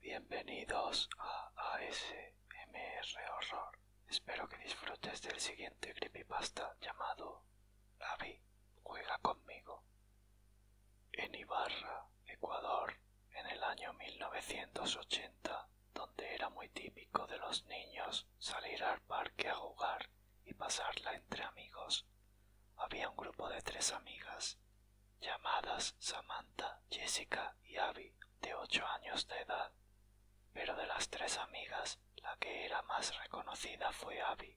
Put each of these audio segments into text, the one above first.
Bienvenidos a ASMR Horror. Espero que disfrutes del siguiente creepypasta llamado Abby juega conmigo. En Ibarra, Ecuador, en el año 1980, donde era muy típico de los niños salir al parque a jugar y pasarla entre amigos. Había un grupo de tres amigas, llamadas Samantha, Jessica y Abby, de ocho años de edad. Pero de las tres amigas, la que era más reconocida fue Abby,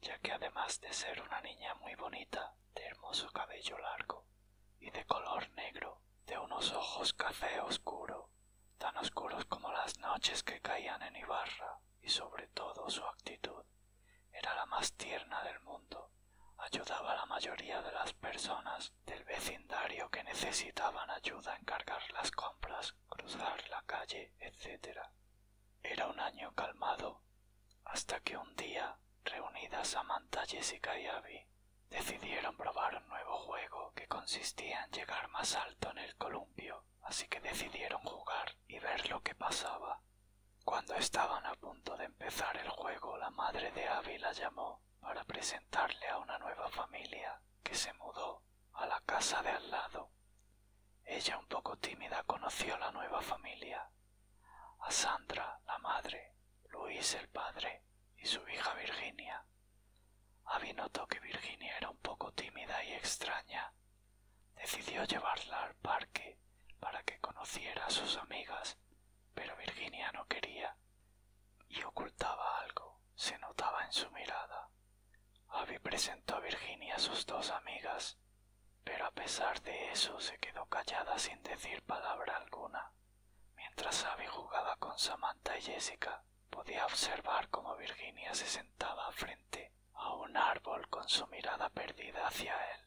ya que además de ser una niña muy bonita, de hermoso cabello largo, y de color negro, de unos ojos café oscuro, tan oscuros como las noches que caían en Ibarra, y sobre todo su actitud. Era la más tierna del mundo, ayudaba a la mayoría de las personas del vecindario que necesitaban ayuda en cargar las compras, cruzar la calle, etc. Era un año calmado, hasta que un día, reunidas amanta Jessica y Abby, decidieron probar un nuevo juego que consistía en llegar más alto en el columpio, así que decidieron jugar y ver lo que pasaba. Cuando estaban a punto de empezar el juego, la madre de Abby la llamó para presentarle a una nueva familia que se mudó a la casa de al lado. Ella un poco tímida conoció la nueva familia a Sandra la madre, Luis el padre y su hija Virginia. avi notó que Virginia era un poco tímida y extraña. Decidió llevarla al parque para que conociera a sus amigas, pero Virginia no quería y ocultaba algo, se notaba en su mirada. Abby presentó a Virginia a sus dos amigas, pero a pesar de eso se quedó callada sin decir palabra alguna. Mientras Abby jugaba con Samantha y Jessica, podía observar cómo Virginia se sentaba frente a un árbol con su mirada perdida hacia él.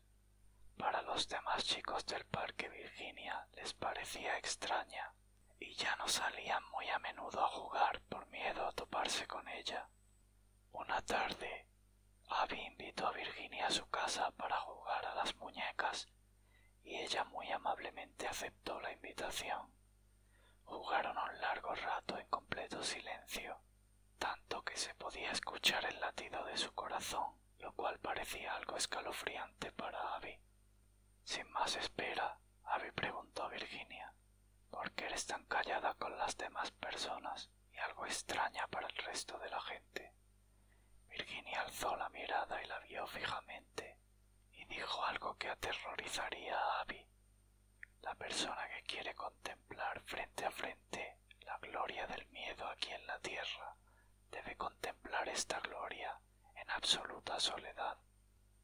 Para los demás chicos del parque Virginia les parecía extraña y ya no salían muy a menudo a jugar por miedo a toparse con ella. Una tarde, Abby invitó a Virginia a su casa para jugar a las muñecas y ella muy amablemente aceptó la invitación. Jugaron un largo rato en completo silencio, tanto que se podía escuchar el latido de su corazón, lo cual parecía algo escalofriante para Abby. Sin más espera, Abby preguntó a Virginia ¿Por qué eres tan callada con las demás personas y algo extraña para el resto de la gente? Virginia alzó la mirada y la vio fijamente y dijo algo que aterrorizaría a Abby. La persona que quiere contemplar frente a frente la gloria del miedo aquí en la tierra debe contemplar esta gloria en absoluta soledad.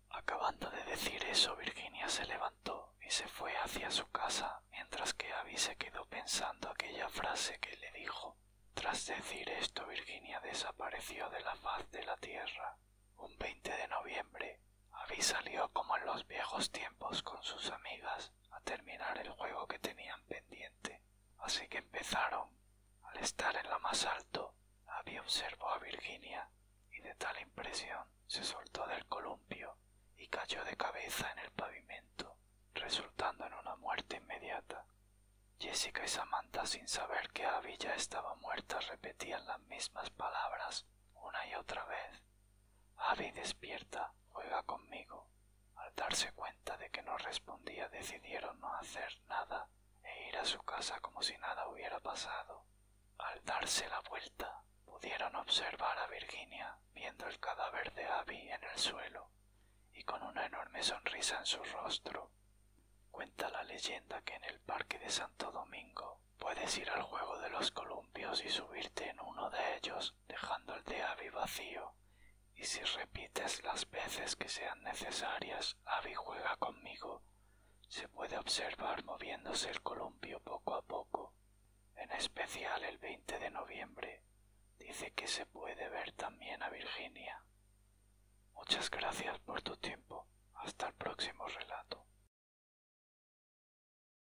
Acabando de decir eso, Virginia se levantó y se fue hacia su casa, mientras que Abby se quedó pensando aquella frase que le dijo. Tras decir esto, Virginia desapareció de la faz de la tierra. Un 20 de noviembre, Abby salió como en los viejos tiempos con sus amigas a terminar el juego que tenían pendiente así que empezaron. Al estar en la más alto, Abby observó a Virginia y de tal impresión se soltó del columpio y cayó de cabeza en el pavimento, resultando en una muerte inmediata. Jessica y Samantha, sin saber que Abby ya estaba muerta, repetían las mismas palabras una y otra vez. Abby despierta, juega conmigo, al darse cuenta de que no respondía, decidieron no hacer nada e ir a su casa como si nada hubiera pasado. Al darse la vuelta, pudieron observar a Virginia viendo el cadáver de Abby en el suelo y con una enorme sonrisa en su rostro. Cuenta la leyenda que en el parque de Santo Domingo puedes ir al juego de los columpios y subirte en uno de ellos dejando el de Abby vacío, y si repites las veces que sean necesarias, Abby juega conmigo. Se puede observar moviéndose el columpio poco a poco, en especial el 20 de noviembre. Dice que se puede ver también a Virginia. Muchas gracias por tu tiempo. Hasta el próximo relato.